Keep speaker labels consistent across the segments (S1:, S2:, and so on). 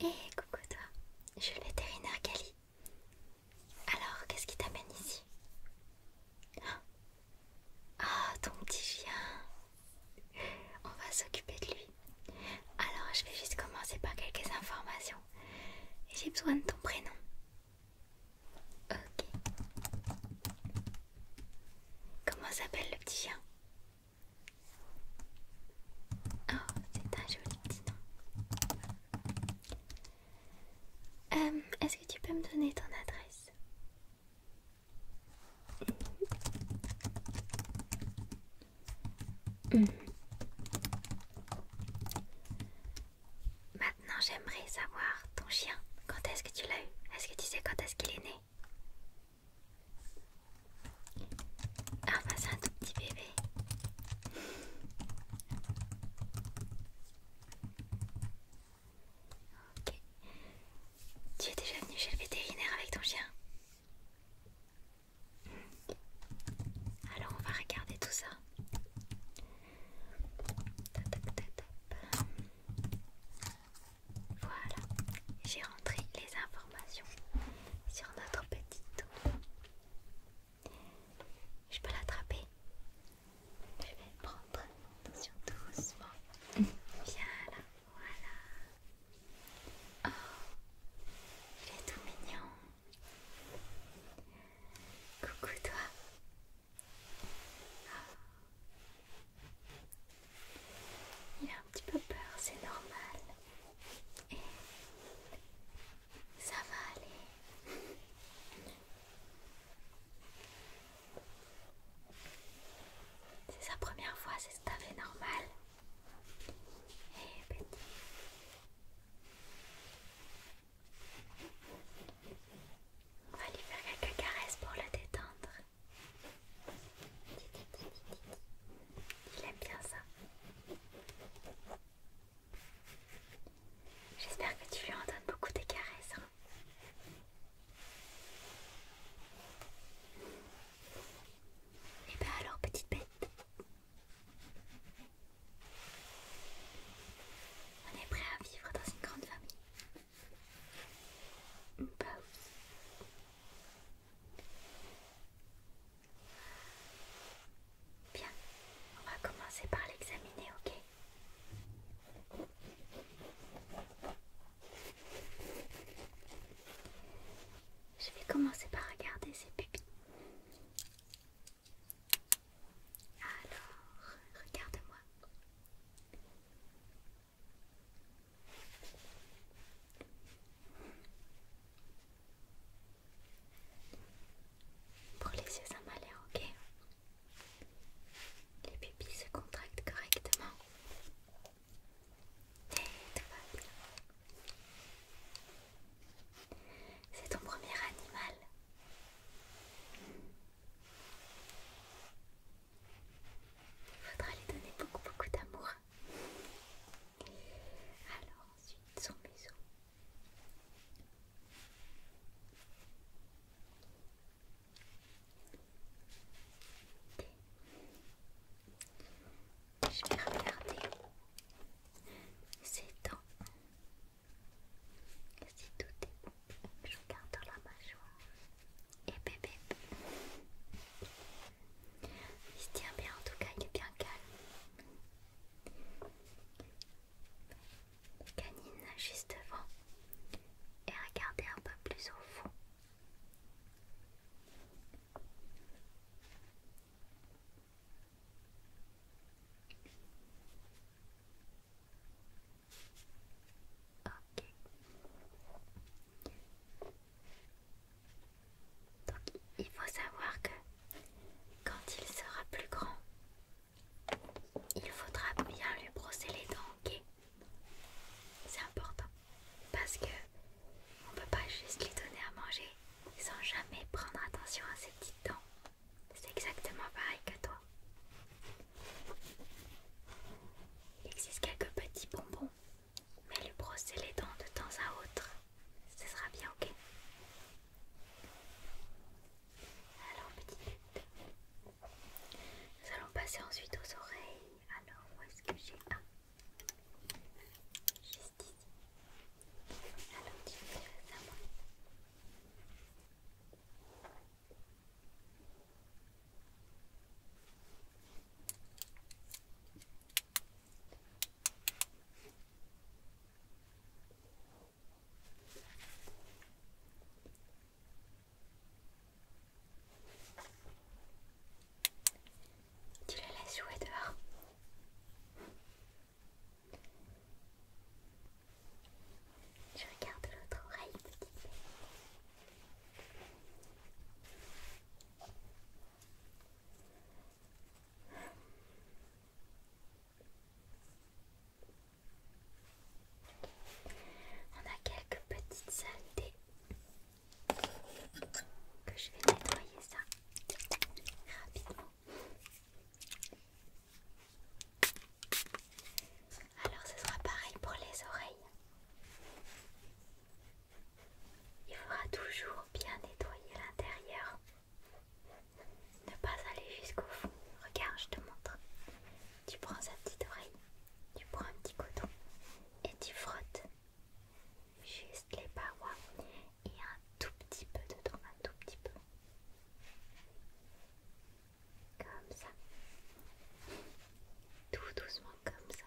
S1: Et eh, coucou toi, je suis le vétérinaire Alors, qu'est-ce qui t'amène ici Ah, ton petit chien. On va s'occuper de lui. Alors, je vais juste commencer par quelques informations. J'ai besoin de ton prénom. Ok. Comment s'appelle le petit chien Oh, c'est un joli petit nom. Euh, est-ce que tu peux me donner ton adresse mm. Maintenant, j'aimerais savoir ton chien. Quand est-ce que tu l'as eu Est-ce que tu sais quand est-ce qu'il est né ah bah c'est un tout petit bébé. ok. Tu es déjà venu chez le vétérinaire avec ton chien Alors on va regarder tout ça. Voilà, j'ai rentré les informations sur notre petite. Je peux l'attraper Je vais prendre. Attention, doucement. Viens là, voilà. Oh, il est tout mignon. Coucou toi. Oh. Il a un petit peu peur, c'est normal ça va aller. C'est sa première fois, c'est tout à fait normal. petit. Eh, On va lui faire quelques caresses pour le détendre. Il aime bien ça. J'espère que tu lui en donnes beaucoup des caresses. et hein. eh ben alors, petite bête. On est prêt à vivre dans une grande famille. Bah Bien, on va commencer par l'examiner, ok Je vais commencer par regarder ses pupilles. Alors, regarde-moi. Pour les yeux, ça m'a l'air ok. Les pupilles se contractent correctement. Eh, tout va bien. C'est ton premier animal. Il faudra lui donner beaucoup beaucoup d'amour. Alors ensuite son museau. Je vais regarder ses temps. Si tout est bon, je regarde dans la mâchoire. Et bébé. Il se tient bien, en tout cas, il est bien calme. Canine juste devant et regardez un peu plus au fond. Ok. Donc il faut savoir que quand il sera plus grand, il faudra bien lui brosser les dents, ok C'est important parce que on ne peut pas juste lui donner à manger sans jamais prendre attention à ses petites dents. C'est exactement pareil que toi. Il existe quelques petits bonbons mais lui brosser les dents de temps à autre, ce sera bien ok. Alors petite nous allons passer ensuite aux oreilles. Alors où est-ce que j'ai un Juste ici. Alors tu fais ça moi. Tu la laisses jouer dehors. Je regarde l'autre oreille, on a quelques petites saletés que je vais nettoyer ça rapidement. Alors ce sera pareil pour les oreilles. Il faudra toujours bien nettoyer l'intérieur. Ne pas aller jusqu'au fond. Regarde, je te montre. Tu prends sa petite oreille, tu prends un petit coton et tu frottes juste les parois et un tout petit peu dedans, un tout petit peu. Comme ça. Tout doucement comme ça.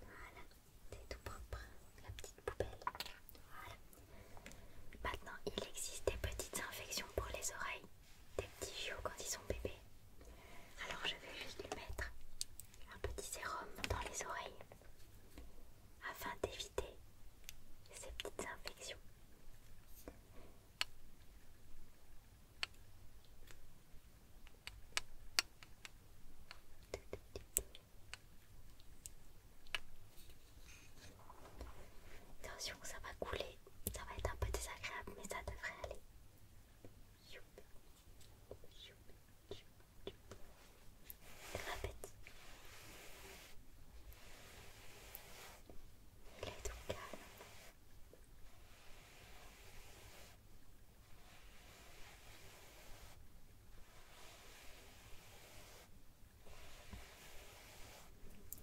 S1: Voilà, c'est tout propre, la petite poubelle. Voilà. Maintenant, il existe des petites infections pour les oreilles, des petits chiots quand ils sont bébés. Alors je vais juste lui mettre un petit sérum dans les oreilles afin d'éviter ces petites infections. Attention, ça va couler, ça va être un peu désagréable, mais ça devrait aller. Grapetti. Il est tout calme.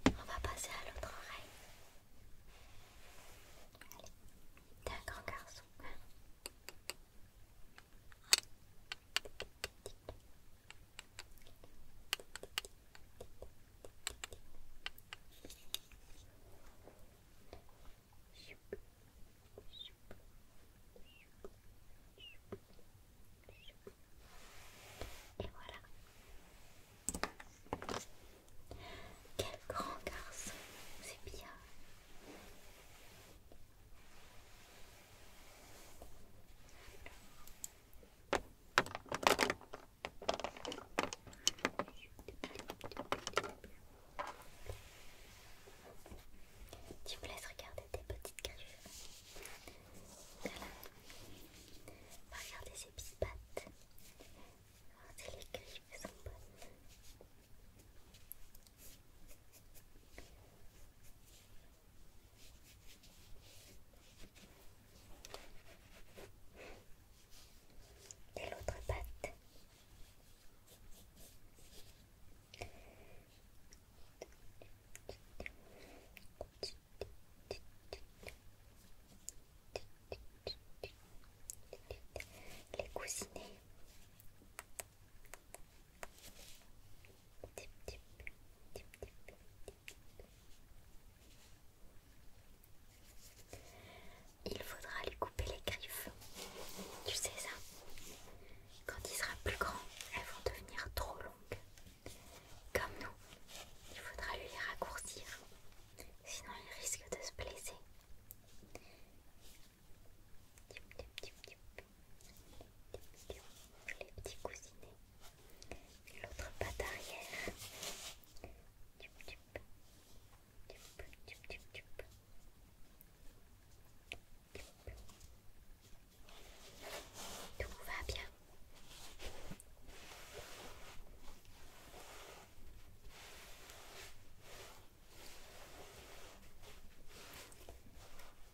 S1: On va passer à l'autre oreille. Allez, t'es un grand garçon. Et voilà. Quel grand garçon, c'est bien. Tu me laisses regarder tes petites griffes. Regardez ces petites pattes. Regardez les griffes sont bonnes. Et l'autre patte. Les coussinets. Il faudra lui couper les griffes. Tu sais ça Quand il sera plus grand, elles vont devenir trop longues. Comme nous, il faudra lui les raccourcir. Sinon il risque de se blesser les petits cousinets, l'autre patte arrière. Tout va bien.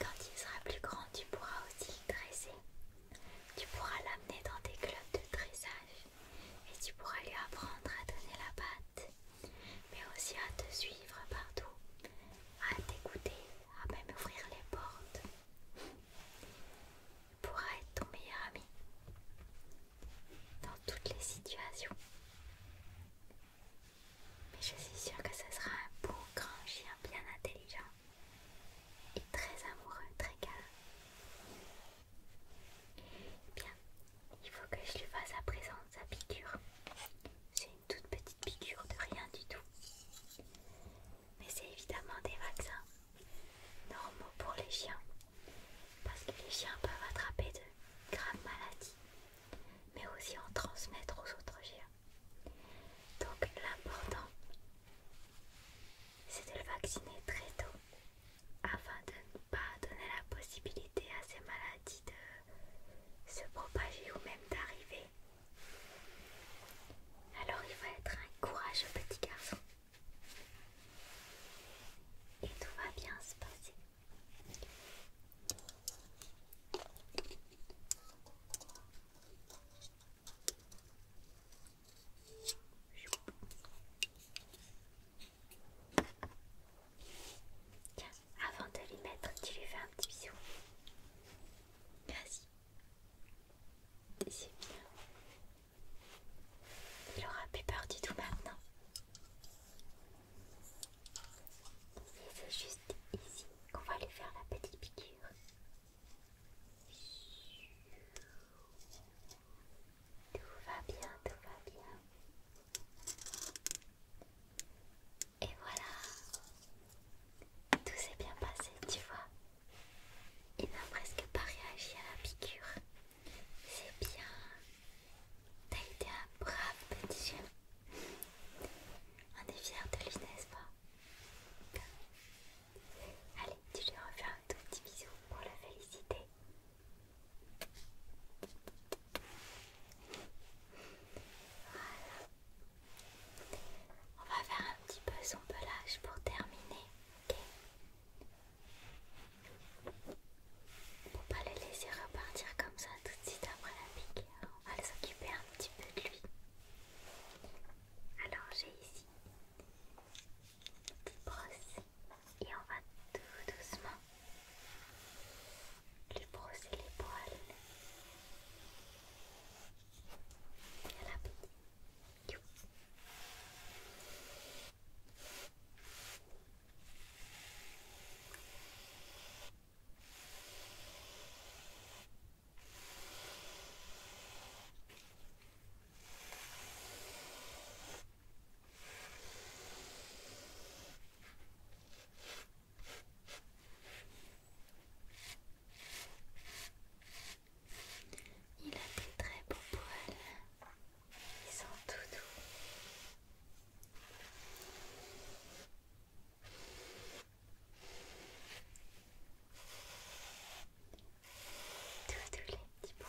S1: Quand il sera plus grand, tu pourras aussi le dresser. Tu pourras l'amener dans des clubs de dressage et tu pourras lui apprendre à donner la patte, mais aussi à te suivre partout, à t'écouter, à même ouvrir les portes. Il pourra être ton meilleur ami dans toutes les situations. Mais je suis sûre que ce sera un beau grand chien bien intelligent et très amoureux, très calme Bien, il faut que je lui fasse à présent sa piqûre. C'est une toute petite piqûre de rien du tout. Mais c'est évidemment des vaccins normaux pour les chiens parce que les chiens peuvent attraper de graves maladies, mais aussi en transmettre aux autres chiens. Donc l'important, c'est de le vacciner très tôt, afin de ne pas donner la possibilité à ces maladies de se propager ou même d'arriver. Alors il va être un courageux petit garçon. Et tout va bien se passer. Tiens, avant de lui mettre, tu lui fais un petit bisou. Vas-y. C'est bien. Il aura plus peur du tout maintenant. c'est juste ici qu'on va aller faire la petite piqûre. Tout va bien, tout va bien. Et voilà. Tout s'est bien passé, tu vois. Il n'a presque pas réagi à la piqûre. C'est bien. T'as été un brave petit chien. On est fiers de lui, n'est-ce pas Allez, tu lui refais un tout petit bisou pour le féliciter. Voilà. On va faire un petit peu son pelage pour terminer. ok pour pas le laisser repartir comme ça tout de suite après la pique, hein. on va s'occuper un petit peu de lui. Alors j'ai ici une brosse et on va tout doucement lui brosser les poils. Voilà. You. Il a des très beaux poils. Ils sont tout doux. tout doux les petits points.